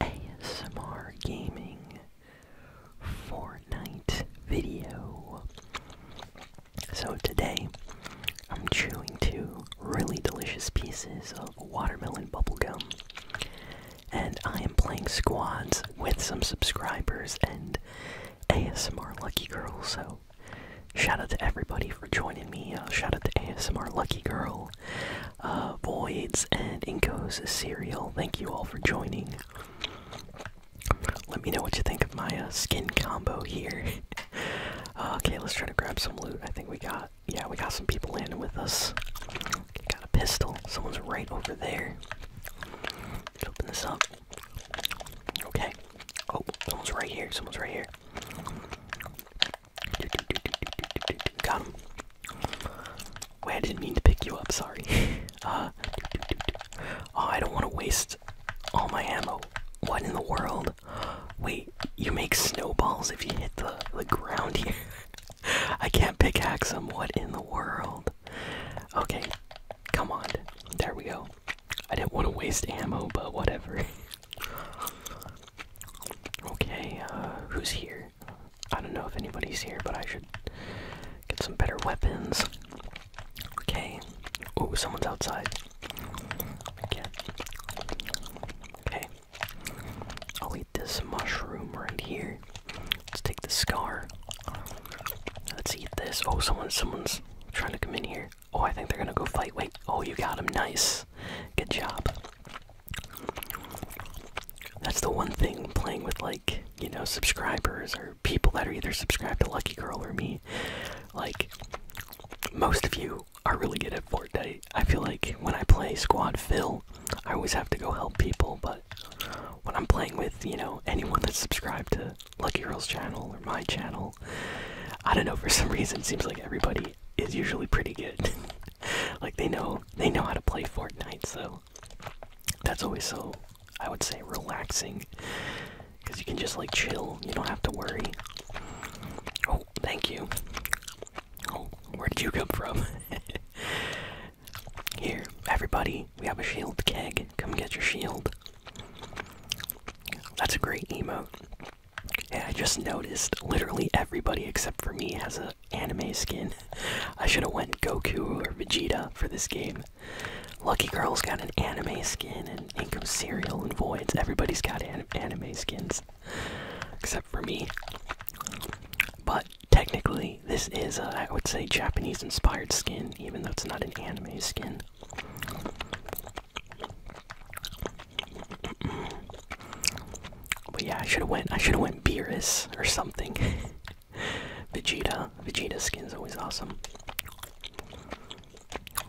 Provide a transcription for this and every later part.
ASMR Gaming Fortnite video. So today, I'm chewing two really delicious pieces of watermelon bubblegum. And I am playing squads with some subscribers and ASMR Lucky Girl, so shout out to everybody for joining me. Uh, shout out to ASMR Lucky Girl uh, Voids, and Inko's cereal. Thank you all for joining. Let me know what you think of my uh, skin combo here. Uh, okay, let's try to grab some loot. I think we got, yeah, we got some people landing with us. Got a pistol. Someone's right over there. open this up. Okay. Oh, someone's right here. Someone's right here. Got him. Wait, I didn't mean to pick you up, sorry. Uh, oh, I don't want to waste all my ammo. What in the world? Wait, you make snowballs if you hit the, the ground here. I can't pickaxe them. What in the world? Okay, come on. There we go. I didn't want to waste ammo, but whatever. okay, uh, who's here? I don't know if anybody's here, but I should get some better weapons. Okay. Oh, someone's outside. Okay. Okay. I'll eat this mushroom right here. Let's take the scar. Let's eat this. Oh, someone, someone's trying to come in here. Oh, I think they're gonna go fight. Wait. Oh, you got him. Nice. Good job. That's the one thing playing with like, you know, subscribers or people that are either subscribed to Lucky Girl or me. Like, most of you are really good at Fortnite. I feel like when I play Squad Phil, I always have to go help people, but when I'm playing with, you know, anyone that's subscribed to Lucky Girl's channel or my channel, I don't know, for some reason it seems like everybody is usually pretty good. like they know they know how to play Fortnite, so that's always so I would say relaxing because you can just like chill. You don't have to worry. Oh, thank you. Oh, where did you come from? Here, everybody, we have a shield keg. Come get your shield. That's a great emo. And I just noticed literally everybody except for me has a anime skin. I should have went Goku or Vegeta for this game. Lucky Girl's got an anime skin, and Income Cereal and Voids. Everybody's got anime skins, except for me. But technically, this is a, I would say Japanese-inspired skin, even though it's not an anime skin. But yeah, I should have went. I should have went Beerus or something. Vegeta. Vegeta skin's always awesome.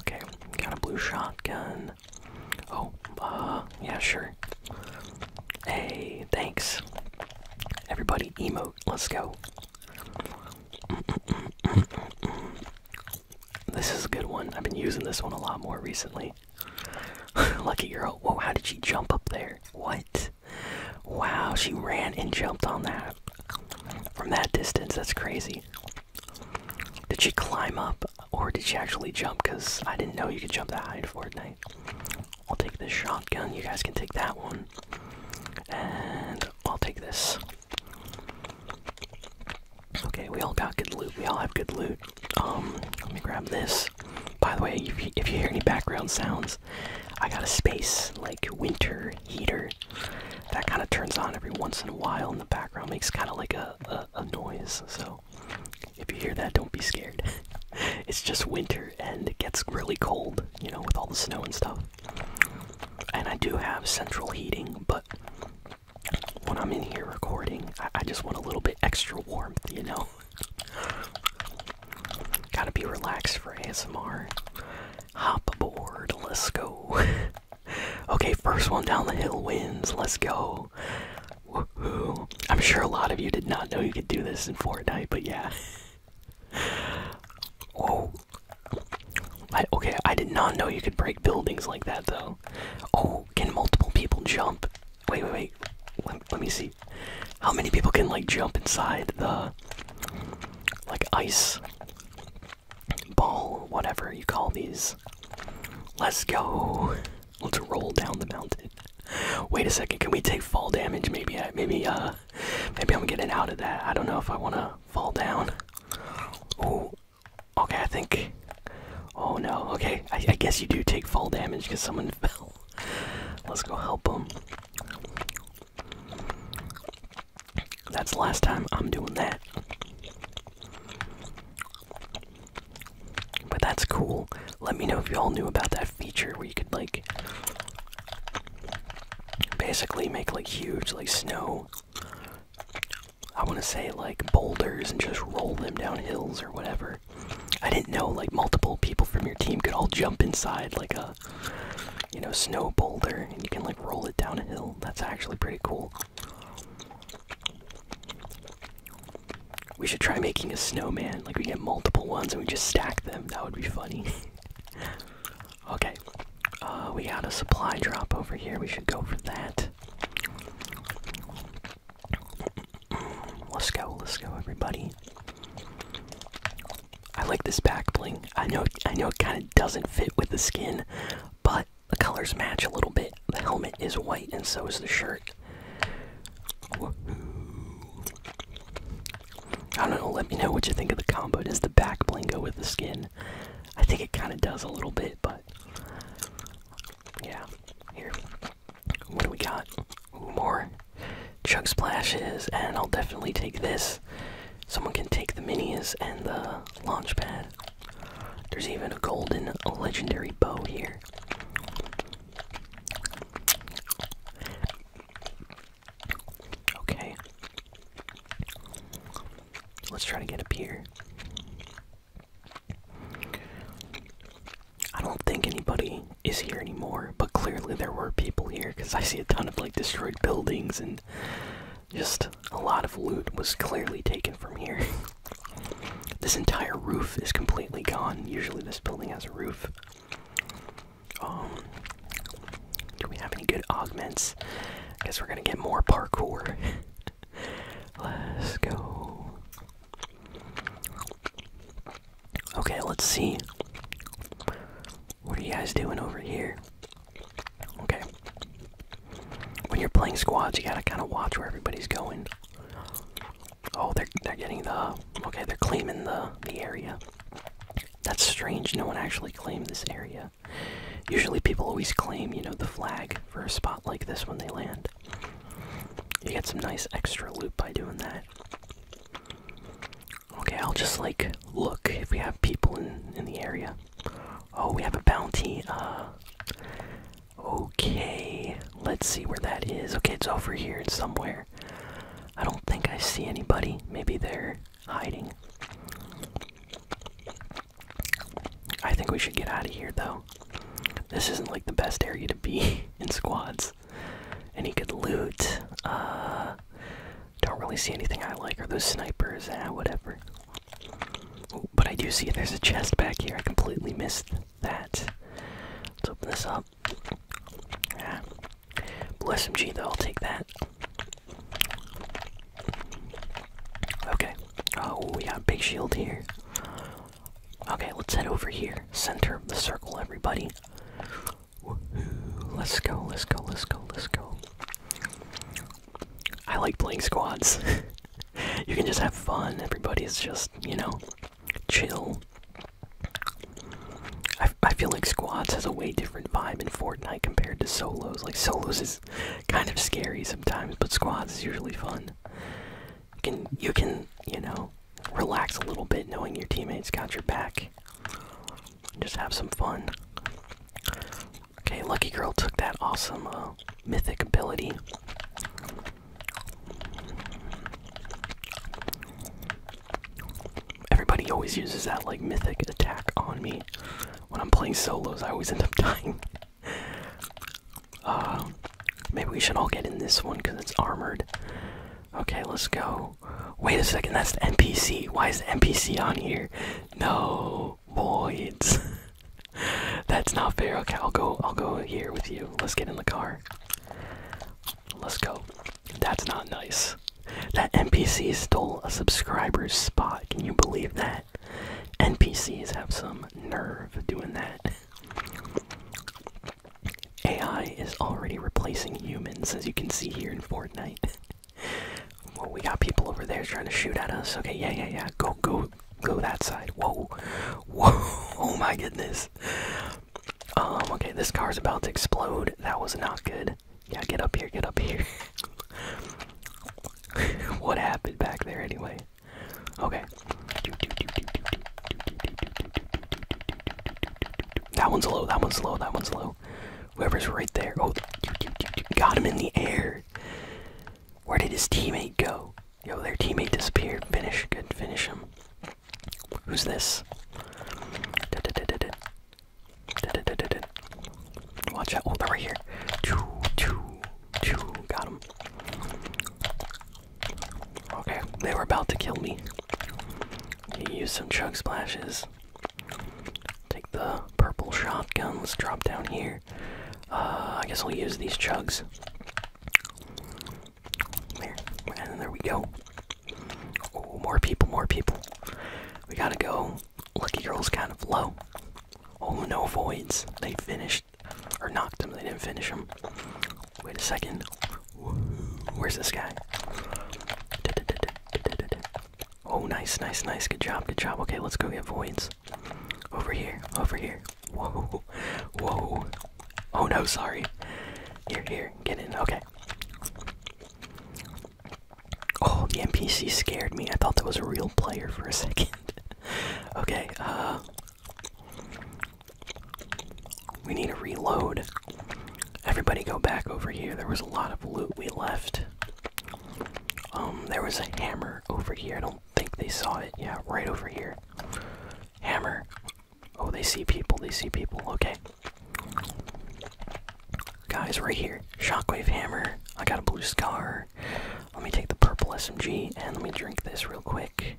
Okay, got a blue shotgun. Oh, uh, yeah, sure. Hey, thanks. Everybody, emote. Let's go. This is a good one. I've been using this one a lot more recently. Lucky girl. Whoa, how did she jump up there? What? Wow, she ran and jumped on that. From that distance, that's crazy. Did she climb up or did she actually jump? Because I didn't know you could jump that high in Fortnite. I'll take this shotgun. You guys can take that one. And I'll take this. Okay, we all got good loot. We all have good loot. Um, let me grab this. By the way, if you, hear any background sounds, I got a space like winter heater that kind of turns on every once in a while in the background, makes kind of like a, a, noise. So if you hear that, don't be scared. it's just winter and it gets really cold, you know, with all the snow and stuff. And I do have central heating, but when I'm in here recording, I just want a little bit extra warmth, you know? Gotta be relaxed for ASMR. Hop aboard, let's go. okay, first one down the hill wins, let's go. I'm sure a lot of you did not know you could do this in Fortnite, but yeah. Whoa. Oh. okay, I did not know you could break buildings like that, though. Oh, can multiple people jump? Wait, wait, wait let me see how many people can like jump inside the like ice ball whatever you call these let's go let's roll down the mountain wait a second can we take fall damage maybe I, maybe uh maybe i'm getting out of that i don't know if i want to fall down oh okay i think Oh no, okay. I, guess you do take fall damage because someone fell. Let's go help them. That's the last time I'm doing that. But that's cool. Let me know if you all knew about that feature where you could, like, basically make, like, huge, like, snow. I want to say, like, boulders and just roll them down hills or whatever. I didn't know like multiple people from your team could all jump inside like a you know snow boulder and you can like roll it down a hill. That's actually pretty cool. We should try making a snowman. Like we get multiple ones and we just stack them. That would be funny. okay. Uh, we got a supply drop over here. We should go for that. Let's go, let's go, everybody. I like this back bling. I know, I know, it kind of doesn't fit with the skin, but the colors match a little bit. The helmet is white, and so is the shirt. I don't know. Let me know what you think of the combo. Does the back bling go with the skin? I think it kind of does a little bit, but yeah. Here, what do we got? more. Chug splashes, and I'll definitely take this. Someone can take the minis and the launch pad. There's even a golden legendary bow here. Okay. Let's try to get up here. I don't think anybody is here anymore, but clearly there were people here because I see a ton of like destroyed buildings and just a lot of loot was clearly taken from here. this entire roof is completely gone. Usually this building has a roof. Um do we have any good augments? I guess we're gonna get more parkour. Let's go. Okay, let's see. What are you guys doing over here? Okay. When you're playing squads, you gotta kind of watch where everybody's going. Oh, they're they're getting the okay. They're claiming the the area. That's strange. No one actually claimed this area. Usually, people always claim you know the flag for a spot like this when they land. You get some nice extra loot by doing that. Okay, I'll just like look if we have people in in the area. Oh, we have a bounty. Uh Okay, let's see where that is. Okay, it's over here somewhere. I don't think I see anybody. Maybe they're hiding. I think we should get out of here though this isn't like the best area to be in squads. And he could loot. Uh, don't really see anything I like. Are those snipers? Ah, whatever. but I do see there's a chest back here. I completely missed that. Let's open this up. Ah. Bless Blue G though, I'll take that. Okay. Oh, we got a big shield here. Okay, let's head over here. Center of the circle, everybody. Let's go, let's go, let's go, let's go. I like playing squads. you can just have fun. Everybody's just, you know, chill. I, I feel like squads has a way different vibe in Fortnite compared to solos. Like, solos is kind of scary sometimes, but squads is usually fun you can you can you know relax a little bit knowing your teammates got your back. Just have some fun. Okay, Lucky Girl took that awesome uh, mythic ability. Everybody always uses that like mythic attack on me. When I'm playing solos, I always end up dying. Uh, maybe we should all get in this one because it's armored. Okay, let's go. Wait a second, that's the NPC. Why is the NPC on here? No, voids. that's not fair. Okay, I'll go. I'll go here with you. Let's get in the car. Let's go. That's not nice. That NPC stole a subscriber's spot. Can you believe that? NPCs have some nerve doing that. AI is already replacing humans, as you can see here in Fortnite. well, we got people over there trying to shoot at us. Okay, yeah, yeah, yeah. Go, go, go that side. Whoa, whoa! Oh my goodness. Um. Okay, this car's about to explode. That was not good. Yeah, get up here. Get up here. what happened back there anyway? Okay. That one's low, that one's low, that one's low. Whoever's right there. Oh, got him in the air. Where did his teammate go? Yo, their teammate disappeared. Finish, good, finish him. Who's this? Watch out. Oh, they're right here. Two, two, two. Got him. Okay, they were about to kill me. Use some chug splashes. Take the purple shotguns. drop down here. Uh, I guess I'll use these chugs. There, and there we go. Oh, more people, more people. We gotta go. Lucky Girl's kind of low. Oh, no voids. They finished or knocked them. They didn't finish them. Wait a second. Where's this guy? Oh, nice, nice, nice. Good job, good job. Okay, let's go get voids. Over here, over here. Whoa, whoa. Oh no, sorry. Here, here, get in. Okay. Oh, the NPC scared me. I thought that was a real player for a second. okay, uh, we need to reload. Everybody go back over here. There was a lot of loot we left. Um, there was a hammer over here. I don't think they saw it. Yeah, right over here. Hammer. Oh, they see people. They see people. Okay. Guys, right here. Shockwave hammer. I got a blue scar. Let me take the purple SMG and let me drink this real quick.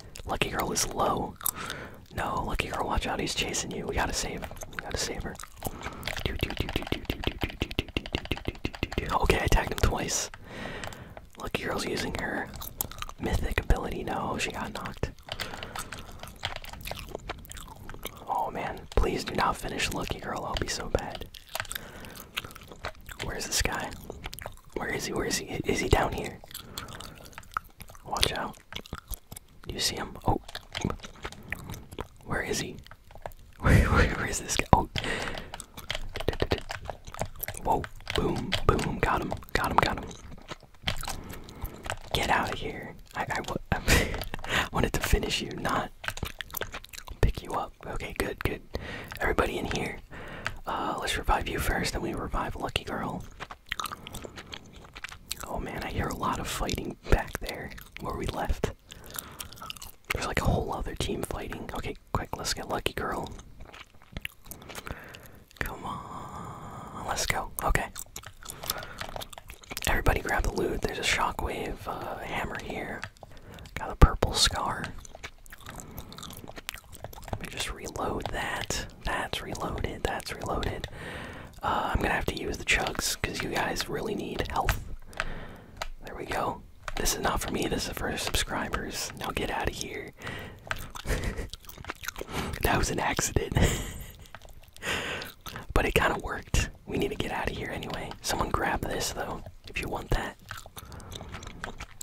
Lucky Girl is low. No, Lucky Girl, watch out, he's chasing you. We gotta save. We gotta save her. Okay, I tagged him twice. Lucky Girl's using her mythic ability. No, she got knocked. Oh man, please do not finish Lucky Girl, I'll be so bad. Where's this guy? Where is he? Where is he? Is he down here? Watch out. You see him? Oh. Where is he? where is this guy? Oh. Whoa. Boom. Boom. Got him. Got him. Got him. Get out of here. I, I, I wanted to finish you, not pick you up. Okay, good, good. Everybody in here. Uh, let's revive you first, then we revive Lucky Girl. Oh man, I hear a lot of fighting back there where we left. There's like a whole other team fighting. Okay, quick, let's get Lucky Girl. Come on, let's go. Okay. Everybody grab the loot. There's a shockwave uh, hammer here. Got a purple scar. Let me just reload that. That's reloaded. That's reloaded. Uh, I'm gonna have to use the chugs because you guys really need health. There we go. This is not for me. This is for subscribers. Now get out of here. that was an accident. but it kind of worked. We need to get out of here anyway. Someone grab this though, if you want that.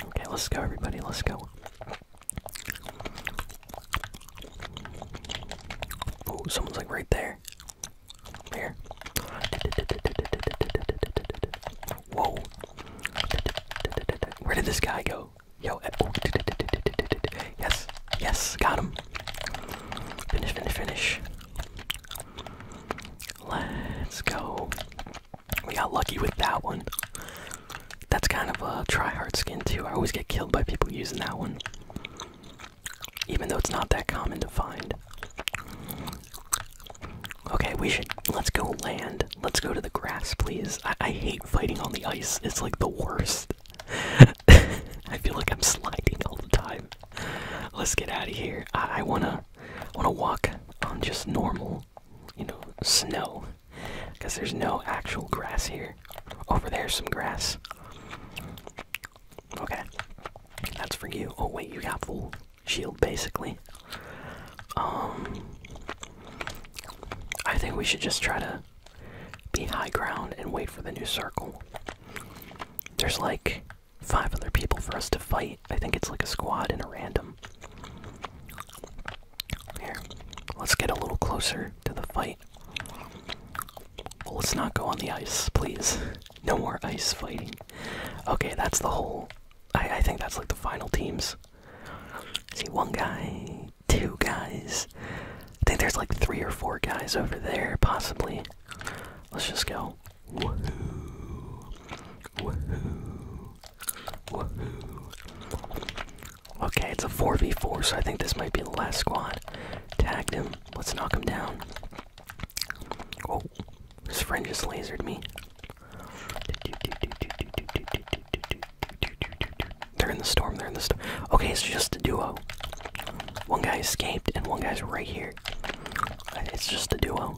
Okay, let's go, everybody. Let's go. Oh, someone's like right there. Here. Whoa. Where did this guy go? Yo. Eh, yes. Yes. Got him. Finish, finish, finish. Let's go. We got lucky with that one. That's kind of a try hard skin too. I always get killed by people using that one. Even though it's not that common to find. Okay, we should let's go land. Let's go to the grass, please. I, hate fighting on the ice. It's like the worst. I feel like I'm sliding all the time. Let's get out of here. I, I wanna wanna walk on just normal, you know, snow. Because there's no actual grass here. Over there's some grass. Okay. That's for you. Oh, wait, you got full shield basically. Um. I think we should just try to be high ground and wait for the new circle. There's like five other people for us to fight. I think it's like a squad in a random. Here, let's get a little closer to the fight. let's not go on the ice, please. No more ice fighting. Okay, that's the whole. I, think that's like the final teams. See, one guy, two guys. I think there's like three or four guys over there, possibly. Let's just go. Woohoo! Woohoo! Okay, it's a 4v4, so I think this might be the last squad. Tagged him. Let's knock him down. Oh, his friend just lasered me. They're in the storm, they're in the storm. Okay, it's just a duo. One guy escaped, and one guy's right here. It's just a duo.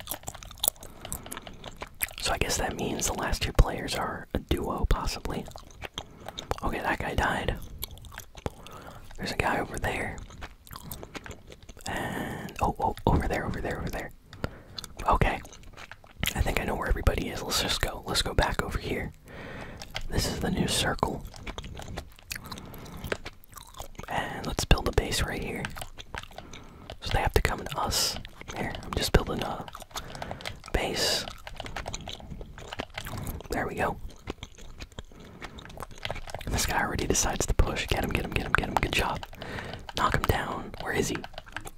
So I guess that means the last two players are a duo, possibly. Okay, that guy died. There's a guy over there. And. Oh, oh, over there, over there, over there. Okay. I think I know where everybody is. Let's just go. Let's go back over here. This is the new circle. And let's build a base right here. So they have to come to us. Here, I'm just building a base. There we go. This guy already decides to push. Get him, get him, get him, get him. Good job. Knock him down. Where is he?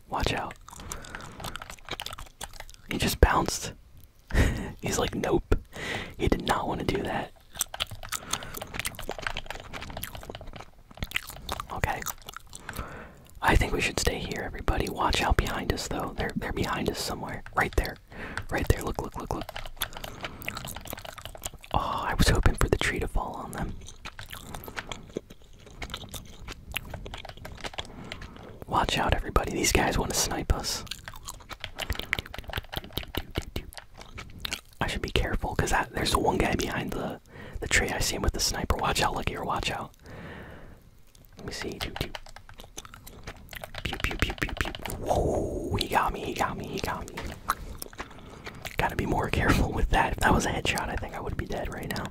Watch out. He just bounced. He's like, nope. He did not want to do that. Okay. I think we should stay here, everybody. Watch out behind us, though. They're they're behind us somewhere. Right there, right there. Look, look, look, look. Oh, I was hoping for the tree to fall on them. Watch out, everybody. These guys want to snipe us. I should be careful, cause that, there's one guy behind the the tree. I see him with the sniper. Watch out, look here. Watch out. Let me see. Whoa, he got me, he got me, he got me. Gotta be more careful with that. If that was a headshot, I think I would be dead right now.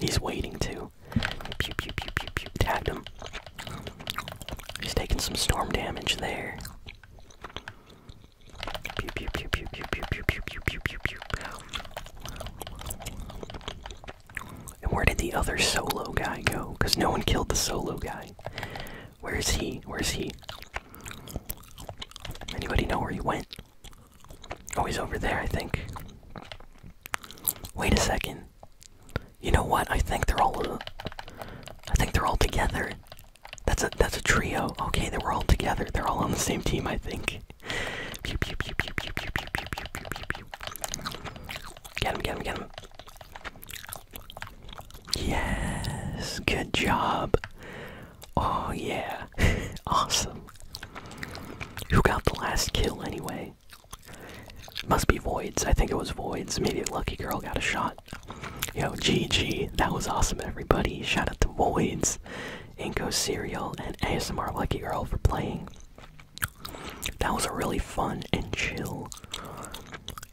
He's waiting to. Pew, him. He's taking some storm damage there. And where did the other solo guy go? Because no one killed the solo guy. Where is he? Where's he? Anybody know where he went? Oh, he's over there, I think. Wait a second. You know what? I think they're all. I think they're all together. That's a that's a trio. Okay, they were all together. They're all on the same team, I think. Get him! Get him! Get him! Yes, good job. Oh yeah, awesome. Who got the last kill anyway? Must be Voids. I think it was Voids. Maybe a lucky girl got a shot. Yo, GG. That was awesome, everybody. Shout out to Voids. Inco Cereal, and ASMR Lucky Girl for playing. That was a really fun and chill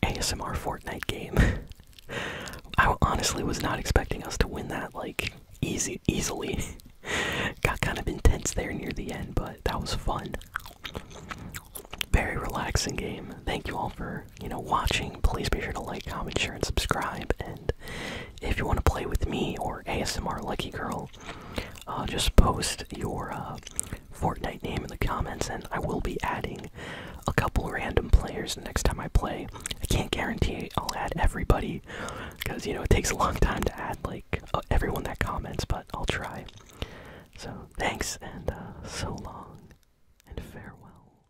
ASMR Fortnite game. I honestly was not expecting us to win that like easy easily. Got kind of intense there near the end, but that was fun. Very relaxing game. Thank you all for you know, watching. Please be sure to like, comment, share, and subscribe. And if you want to play with me or ASMR Lucky Girl, uh, just post your uh, Fortnite name in the comments, and I will be adding a couple random players next time I play. I can't guarantee I'll add everybody, because, you know, it takes a long time to add, like, uh, everyone that comments, but I'll try. So, thanks, and uh, so long, and farewell.